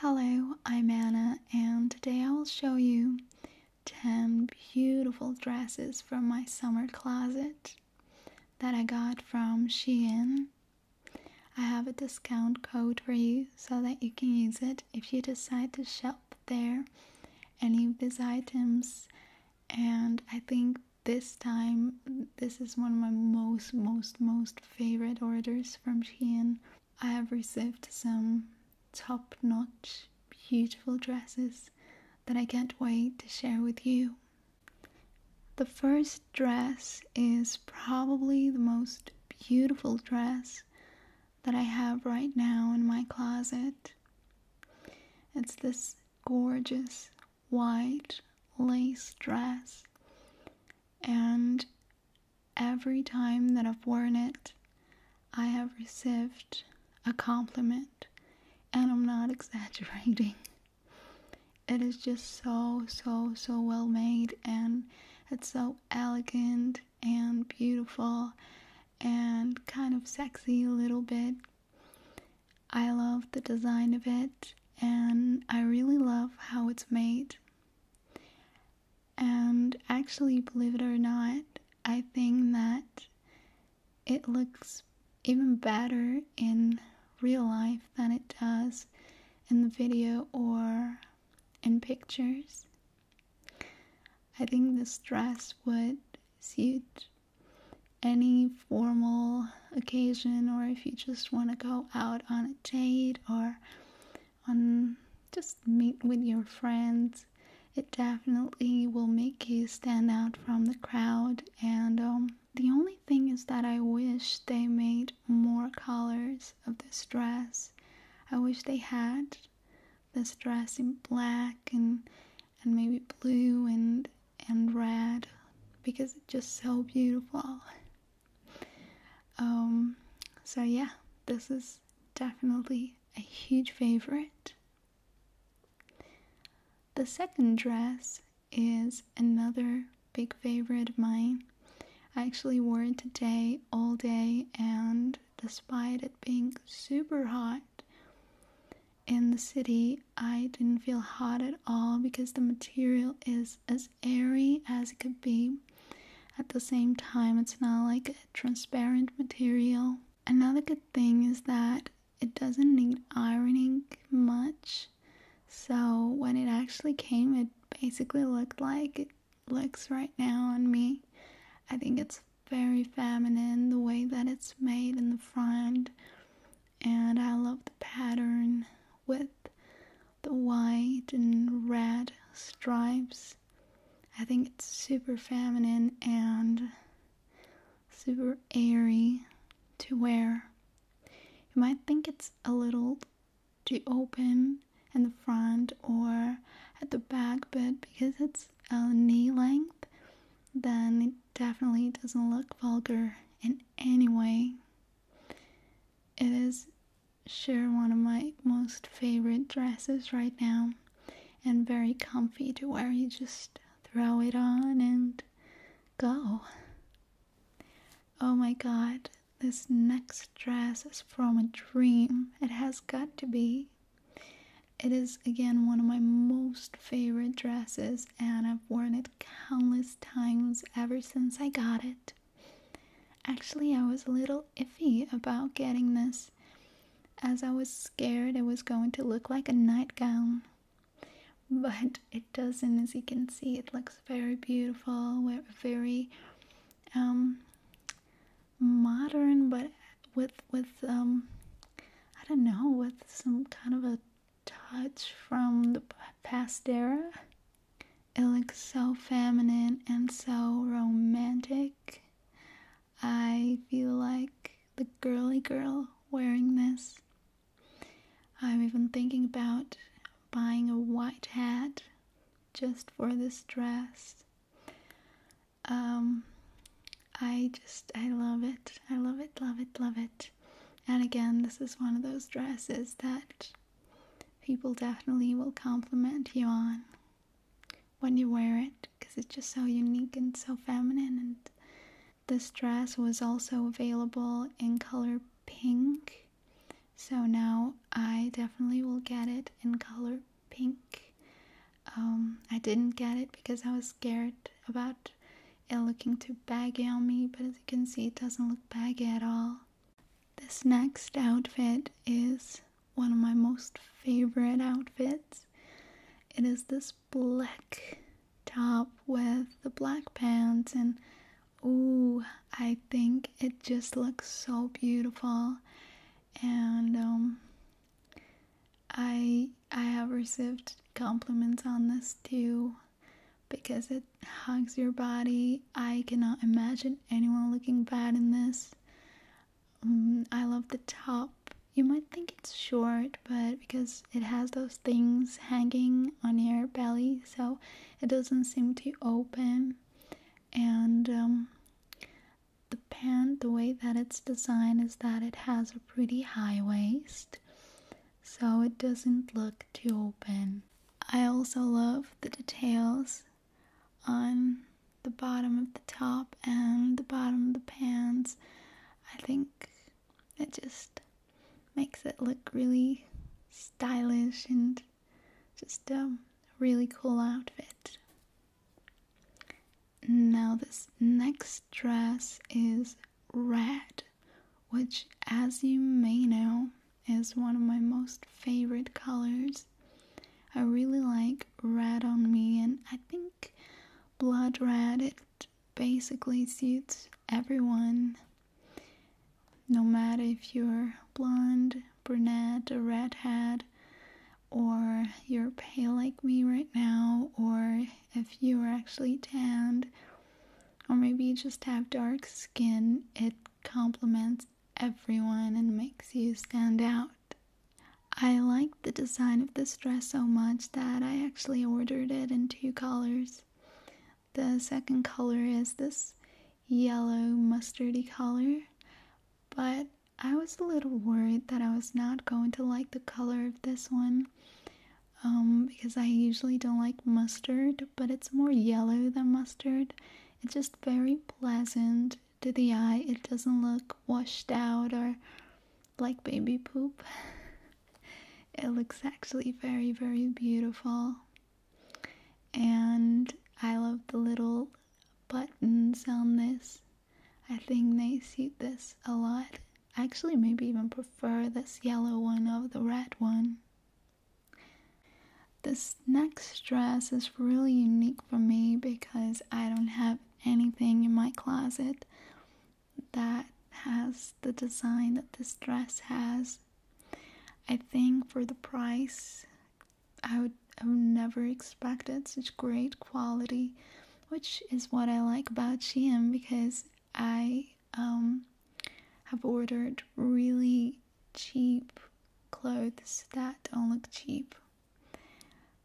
Hello, I'm Anna, and today I will show you 10 beautiful dresses from my summer closet that I got from Shein. I have a discount code for you so that you can use it if you decide to shop there any of these items. And I think this time, this is one of my most, most, most favorite orders from Shein. I have received some top notch, beautiful dresses that I can't wait to share with you. The first dress is probably the most beautiful dress that I have right now in my closet. It's this gorgeous white lace dress and every time that I've worn it, I have received a compliment, and I'm not exaggerating. It is just so, so, so well made, and it's so elegant and beautiful and kind of sexy a little bit. I love the design of it and I really love how it's made. And actually, believe it or not, I think that it looks even better in real life than it does in the video or in pictures. I think this dress would suit any formal occasion or if you just want to go out on a date or on just meet with your friends it definitely will make you stand out from the crowd and um, the only thing is that i wish they made more colors of this dress i wish they had this dress in black and and maybe blue and and red because it's just so beautiful. Um, so, yeah, this is definitely a huge favorite. The second dress is another big favorite of mine. I actually wore it today all day, and despite it being super hot, in the city, I didn't feel hot at all because the material is as airy as it could be. At the same time, it's not like a transparent material. Another good thing is that it doesn't need ironing much. So when it actually came, it basically looked like it looks right now on me. I think it's very feminine the way that it's made in the front and I love the pattern with the white and red stripes. I think it's super feminine and super airy to wear. You might think it's a little too open in the front or at the back, but because it's uh, knee length, then it definitely doesn't look vulgar in any way. It is sure one of my most favorite dresses right now and very comfy to wear. You just throw it on and go. Oh my god, this next dress is from a dream. It has got to be. It is again one of my most favorite dresses, and I've worn it countless times ever since I got it. Actually, I was a little iffy about getting this as I was scared it was going to look like a nightgown. But it doesn't, as you can see, it looks very beautiful, very um, modern, but with with um, I don't know, with some kind of a touch from the past era. It looks so feminine and so romantic. I feel like the girly girl wearing this. I'm even thinking about buying a white hat just for this dress um, I just, I love it. I love it, love it, love it. And again, this is one of those dresses that people definitely will compliment you on when you wear it because it's just so unique and so feminine. And this dress was also available in color pink. So now I definitely will get it in color pink. Um, I didn't get it because I was scared about it looking too baggy on me, but as you can see, it doesn't look baggy at all. This next outfit is one of my most favorite outfits. It is this black top with the black pants and ooh, I think it just looks so beautiful. And um, I I have received compliments on this too because it hugs your body. I cannot imagine anyone looking bad in this. Mm, I love the top. You might think it's short, but because it has those things hanging on your belly, so it doesn't seem to open. And um, the pant, the way that it's designed is that it has a pretty high waist, so it doesn't look too open. I also love the details on the bottom of the top and the bottom of the pants. I think it just makes it look really stylish and just a really cool outfit. Now, this next dress is red, which, as you may know, is one of my most favorite colors. I really like red on me, and I think blood red it basically suits everyone. No matter if you're blonde, brunette, a redhead, or you're pale like me right now, or if you are actually tanned, or maybe you just have dark skin, it complements everyone and makes you stand out. I like the design of this dress so much that I actually ordered it in two colors. The second color is this yellow mustardy color, but I was a little worried that I was not going to like the color of this one um, because I usually don't like mustard, but it's more yellow than mustard. It's just very pleasant to the eye. It doesn't look washed out or like baby poop. it looks actually very, very beautiful. And I love the little buttons on this. I think they suit this a lot. actually maybe even prefer this yellow one over the red one. This next dress is really unique for me because I don't have anything in my closet that has the design that this dress has. I think for the price, I would have never expected such great quality, which is what I like about Shein because I um, have ordered really cheap clothes that don't look cheap.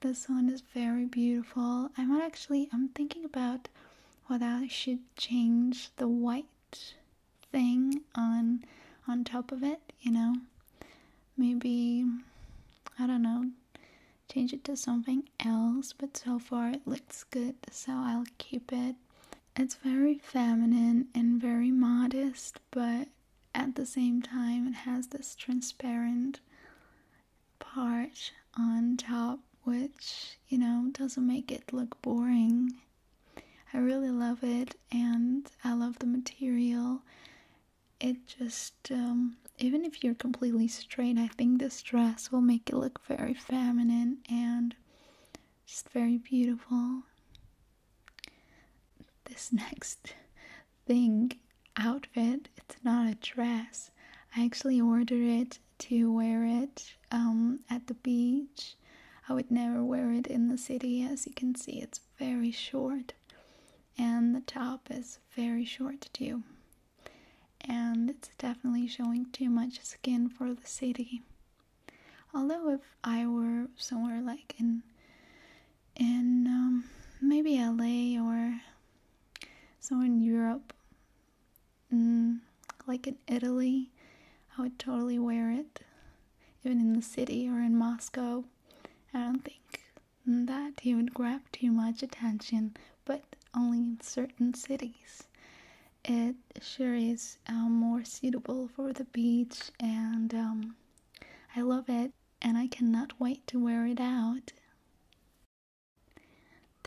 This one is very beautiful. I might actually, I'm thinking about whether I should change the white thing on on top of it, you know. Maybe I don't know, change it to something else, but so far it looks good, so I'll keep it. It's very feminine and very modest, but at the same time it has this transparent part on top which, you know, doesn't make it look boring. I really love it and I love the material. It just, um, even if you're completely straight, I think this dress will make it look very feminine and just very beautiful. This next thing, outfit, it's not a dress. I actually ordered it to wear it um, at the beach I would never wear it in the city, as you can see, it's very short, and the top is very short too. And it's definitely showing too much skin for the city. Although, if I were somewhere like in, in um, maybe LA or somewhere in Europe, mm, like in Italy, I would totally wear it, even in the city or in Moscow. I don't think that he would grab too much attention, but only in certain cities. It sure is um, more suitable for the beach, and um, I love it, and I cannot wait to wear it out.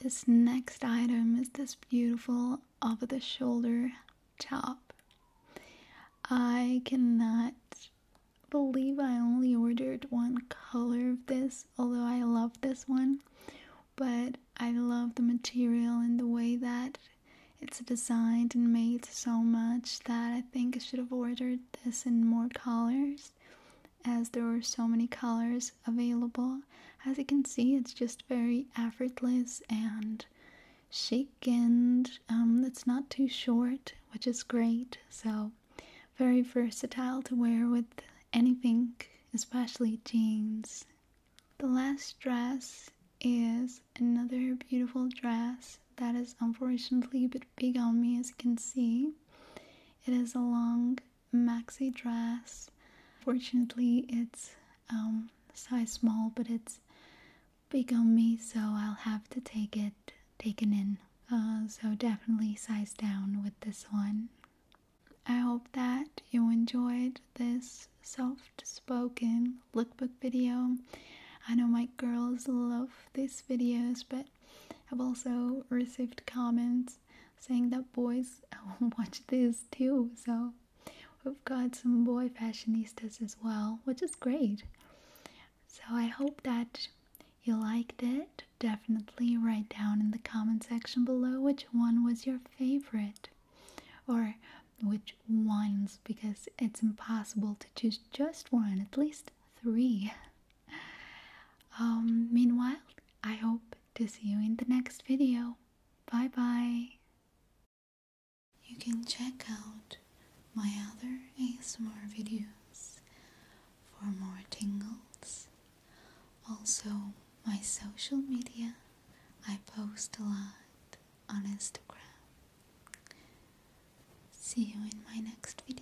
This next item is this beautiful all of the shoulder top. I cannot believe I only ordered one color of this, although I love this one, but I love the material and the way that it's designed and made so much that I think I should have ordered this in more colors as there were so many colors available. As you can see, it's just very effortless and chic, and um, it's not too short, which is great. So, very versatile to wear with anything, especially jeans. The last dress is another beautiful dress that is unfortunately a bit big on me, as you can see. It is a long maxi dress. Fortunately, it's um, size small, but it's big on me, so I'll have to take it taken in. Uh, so definitely size down with this one. I hope that you enjoyed this soft spoken lookbook video. I know my girls love these videos, but I've also received comments saying that boys watch this too. So we've got some boy fashionistas as well, which is great. So I hope that you liked it. Definitely write down in the comment section below which one was your favorite or which ones because it's impossible to choose just one, at least three. Um, meanwhile, I hope to see you in the next video. Bye bye. You can check out my other ASMR videos for more tingles. Also, my social media, I post a lot on Instagram. See you in my next video.